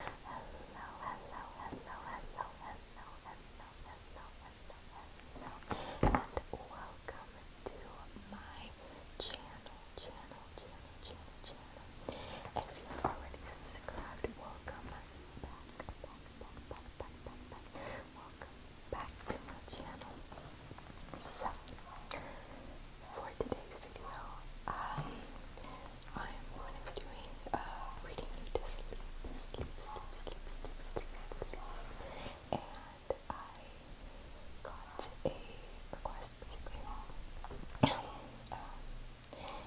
hello, hello, hello, hello, hello, hello, hello, hello, hello, and welcome to my channel, channel, channel, channel, channel. If you're already subscribed, welcome back, back, back, back, back, back, Welcome back to my channel. So, for today's video, I I am going to be doing a uh, reading you to sleep, and I got a request particularly, um,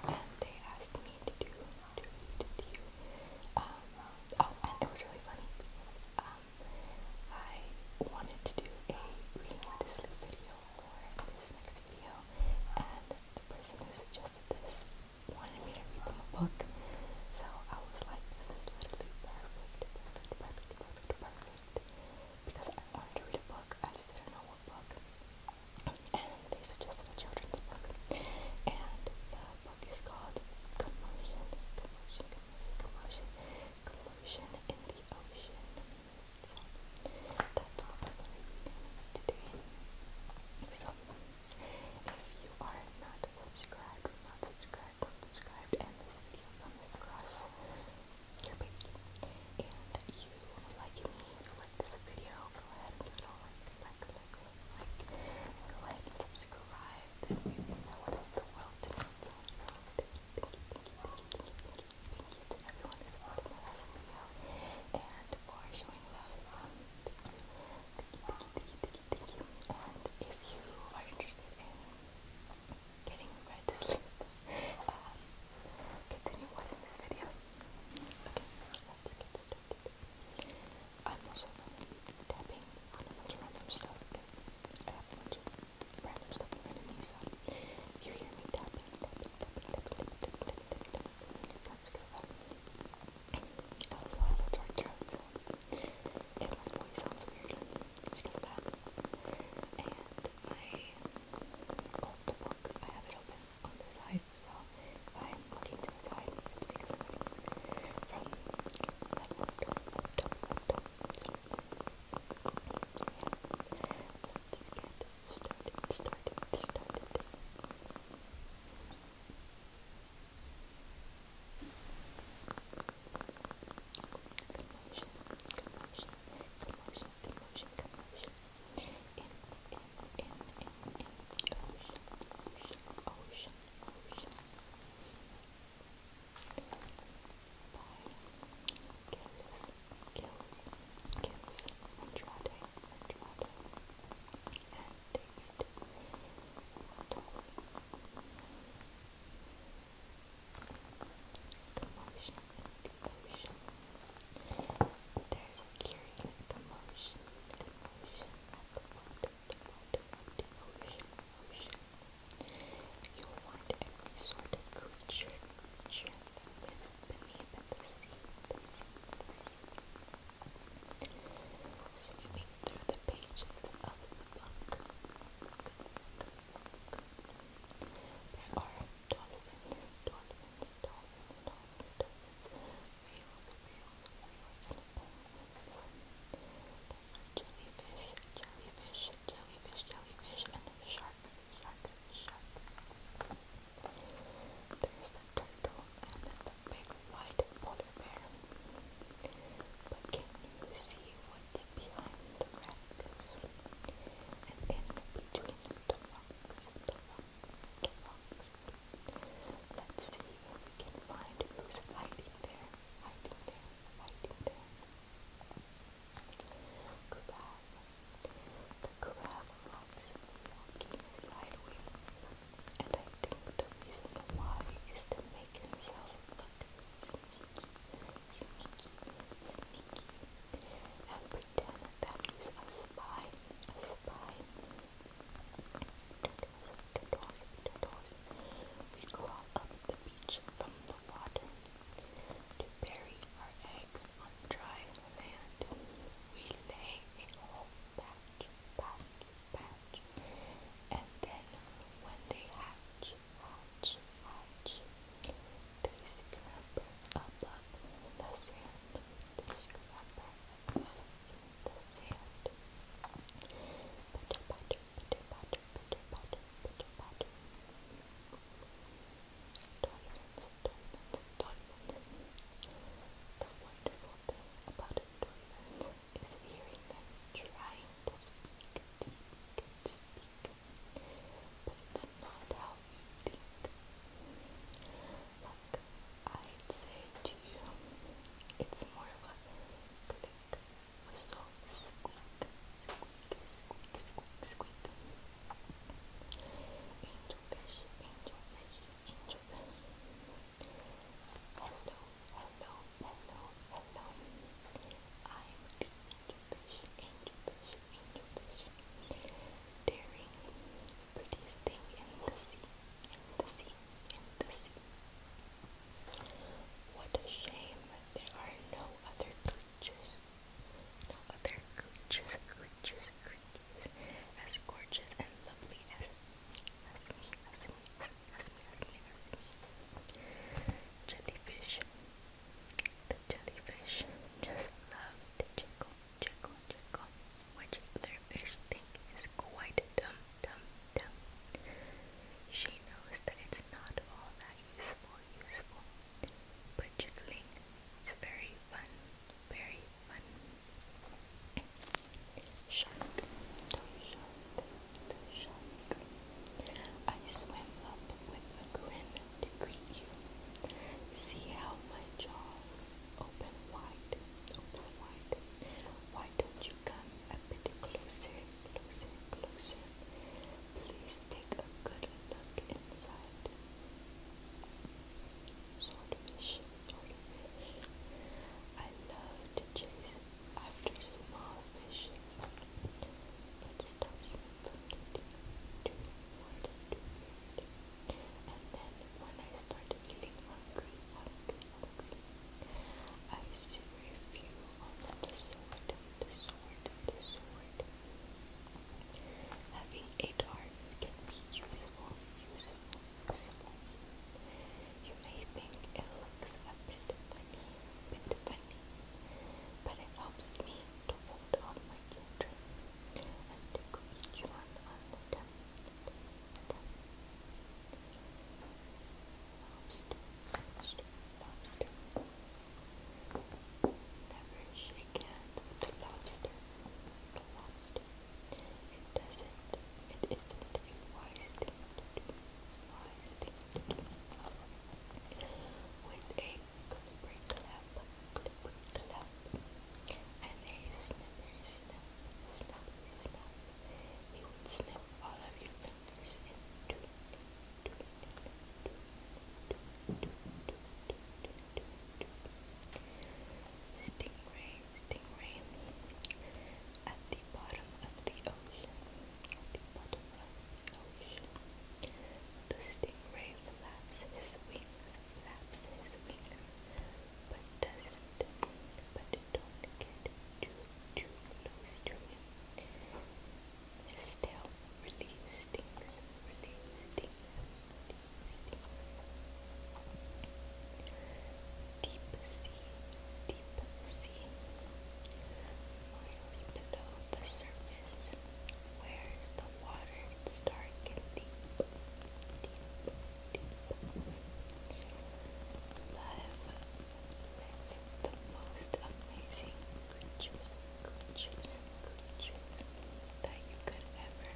and they asked me to do to read to you. Um, oh, and it was really funny. Um, I wanted to do a reading you to sleep reveal more in this next video. And the person who suggested this wanted me to read them a book. So I was like, this is literally perfect, perfect, perfect, perfect, perfect. Because I wanted to read a book, I just didn't know what book. And they suggested a children's book. And the book is called Commotion, Commotion, Commotion, Commotion, Commotion in the Ocean so that's all i today. So if you are not subscribed, not subscribed, not subscribed, and this video comes across your page and you like me, like this video, go ahead and give like, like, like, like, subscribe, then we know what the world did. Thank thank you you to everyone who's watching my last video and for showing love. thank you, thank you, thank you, thank you, thank you. And if you are interested in getting ready to sleep, continue watching this video. Okay, let's get started. I'm also tapping on a bunch of random stuff. I have a random stuff in front you hear me and my voice sounds weird because of that. And my old I have it open on the side, so I'm looking to the side, Let's get started, started, started. Commotion, commotion, commotion, commotion, commotion. In, in, in, in, in. Ocean, ocean, ocean, ocean. By Gillis, Gil, Gibbs, Andrade, Andrade, and David Tolly. Commotion in the ocean. There's a commotion, commotion at the water, the You'll find sort of creature, Swimming through the pages of the book, There are dolphins, dolphins, dolphins, dolphins, dolphins, jellyfish, jellyfish, jellyfish, jellyfish, and sharks. There's the turtle and the big white polar bear. But can you see what's behind the rocks? And in between the rocks, the rocks, the rocks. Let's see if we can find who's hiding there, hiding there, hiding There Crab. The crab walks walking sideways, and I think the reason why is to make himself look sneaky, sneaky, sneaky, and pretend that he's We crawl up the beach from the water to bury our eggs on dry land. We lay a whole patch, patch, patch, and then when they hatch, hatch, hatch, they scamper above the sand. They scamper the sand. Pitter patter, pitter patter, pitter patter, pitter the wonderful thing about dolphins is hearing them trying to speak, to speak, to But it's not how you think. Like, I'd say to you, it's more of a click, whistle, squeak. Angel fish, angel fish, angel fish. Hello, hello, hello, hello. I'm the angel fish, angel fish, angel fish. Daring, prettiest thing in the sea, in the sea, in the sea. What a shame there are no other creatures no other creatures, creatures, creatures as gorgeous and lovely as, Jellyfish. The jellyfish just love to jiggle, jiggle, jiggle, which their fish think is quite dumb, dumb, dumb. She knows that it's not all that useful, useful, Budgetling is very fun, very fun. Shark, toy shark, shark. I swim up with a grin to greet you. See how my jaws open wide, open wide. Why don't you come a bit closer, closer, closer? Please take a good look inside. Swordfish, swordfish. I love to after small fishes, but stops me from getting too bored, too And then when I start feeling hungry, hungry, hungry, I see a few on the sword, the sword, the sword. Having a dart can be useful, useful, useful. You may think it looks a bit funny, bit funny, but it helps me to hold on my children and tickle each one on the temp. Lobster, lobster, lobster. Never shake hands with the lobster. The lobster. It doesn't. It isn't a wise thing to do. Wise thing to do. With a clippery clap, clippery clap, and a snippery snap, snappery snap, he would snip all of your fingers in two. Stingray, stingray at the bottom of the ocean. the stingray flaps flaps his wings, but doesn't, but don't get too, too close to him still release things, release things, Deep sea, deep sea, miles below the surface, where the water is dark and deep, deep, deep. the most amazing creatures coochies, coochies that you could ever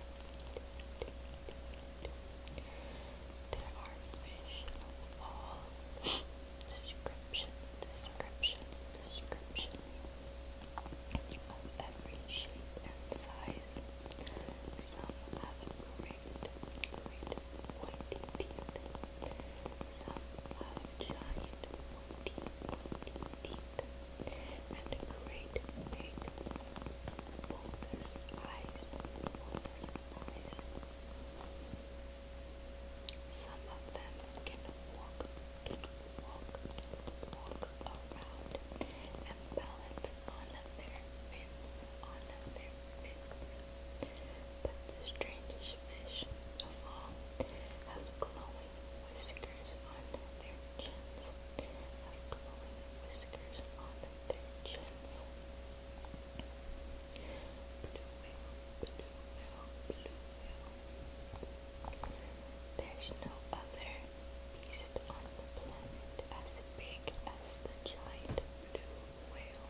There are fish of all description, description, description of every shape and size. Some have great, great white teeth have giant pointy, pointy teeth and great big bulbous eyes, bulbous eyes. Some of them can walk, walk, walk around and balance on their fins, on their fins. But the strangest fish of all have glowing whiskers on their chins, have glowing whiskers on their chins. Blue whale, blue whale, blue whale. There's no other beast on the planet as big as the giant blue whale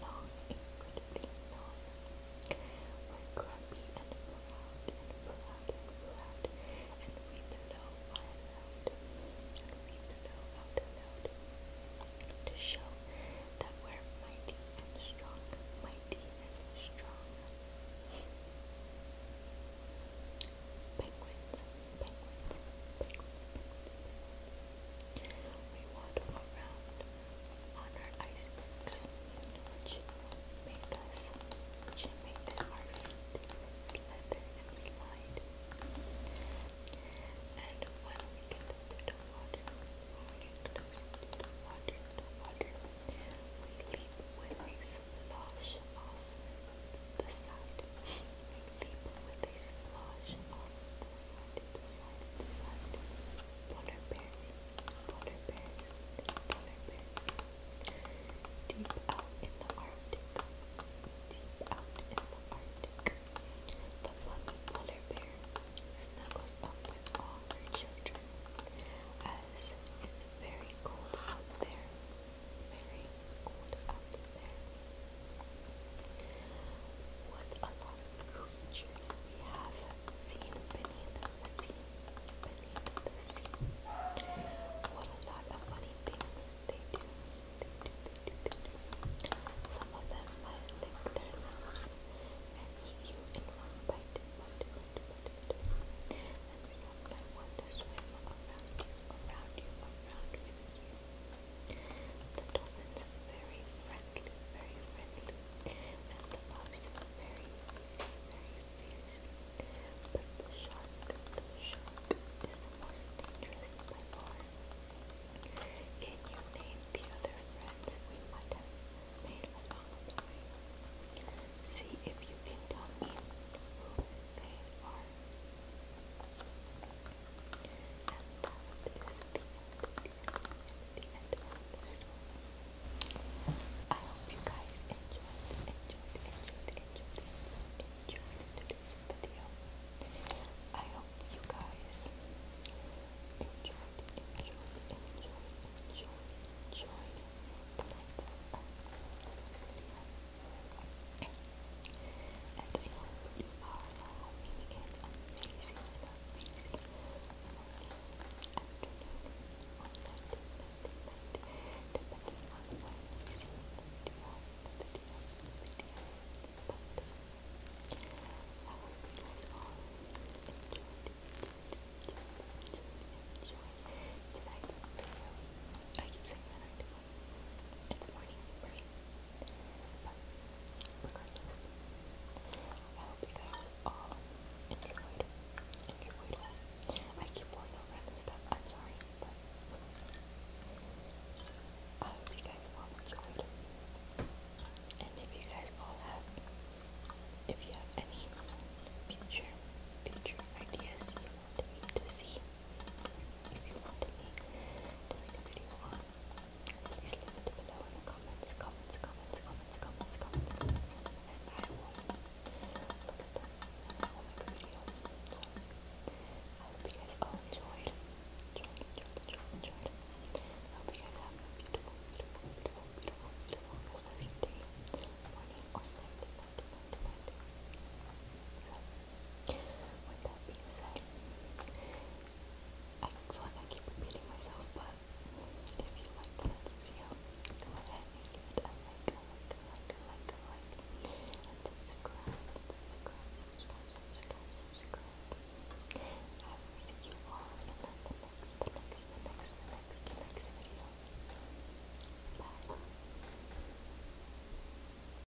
long, incredibly long. We're grumpy and proud and proud and proud, and we bellow out and we bellow out loud to show that we're mighty and strong, mighty and strong. penguins, penguins, penguins we waddle around on our icebergs, which make us, which makes our feet slither and slide. And when we get into water, we get closer to water, water, we leap with a slosh off the side the Polar bears, polar bears, polar bears. Deep out in the Arctic, deep out in the Arctic. The mother polar bear snuggles up with all her children as it's very cold out there. Very cold out there. What a lot of creatures we have seen beneath the sea, What a lot of funny things they do, Some of them might their nose and eat you in one bite, bite, bite, bite, want to swim around you, around you, around you. you. The dolphins are very friendly, very friendly, and the pups are very, very fierce. But the shark, the shark is most dangerous by far. Can you name the other friends we might have made along the way? See if you can tell me who they are. And I hope you guys enjoyed, enjoyed, enjoyed, enjoyed, enjoyed today's video. I hope you guys enjoyed, enjoyed, enjoyed, enjoyed, enjoyed tonight's uh, and I you keep saying that it's morning, But regardless, I hope you guys all enjoyed, I keep pulling out random stuff, I'm sorry, but I hope you guys all enjoyed And if you guys all have, if you have any future, future ideas to see, if you want me to make a please leave it below comments, comments, comments, comments, comments, comments, comments and look at them and I you guys enjoyed. Enjoyed, enjoyed, enjoyed, enjoyed. you guys have a beautiful, beautiful, beautiful, beautiful, beautiful rest of morning, with that being said, I feel like I keep repeating myself, but if you like the video, go ahead and give like, a like, and subscribe, I will see you all in the next, the next, next, next, next, next video. Bye.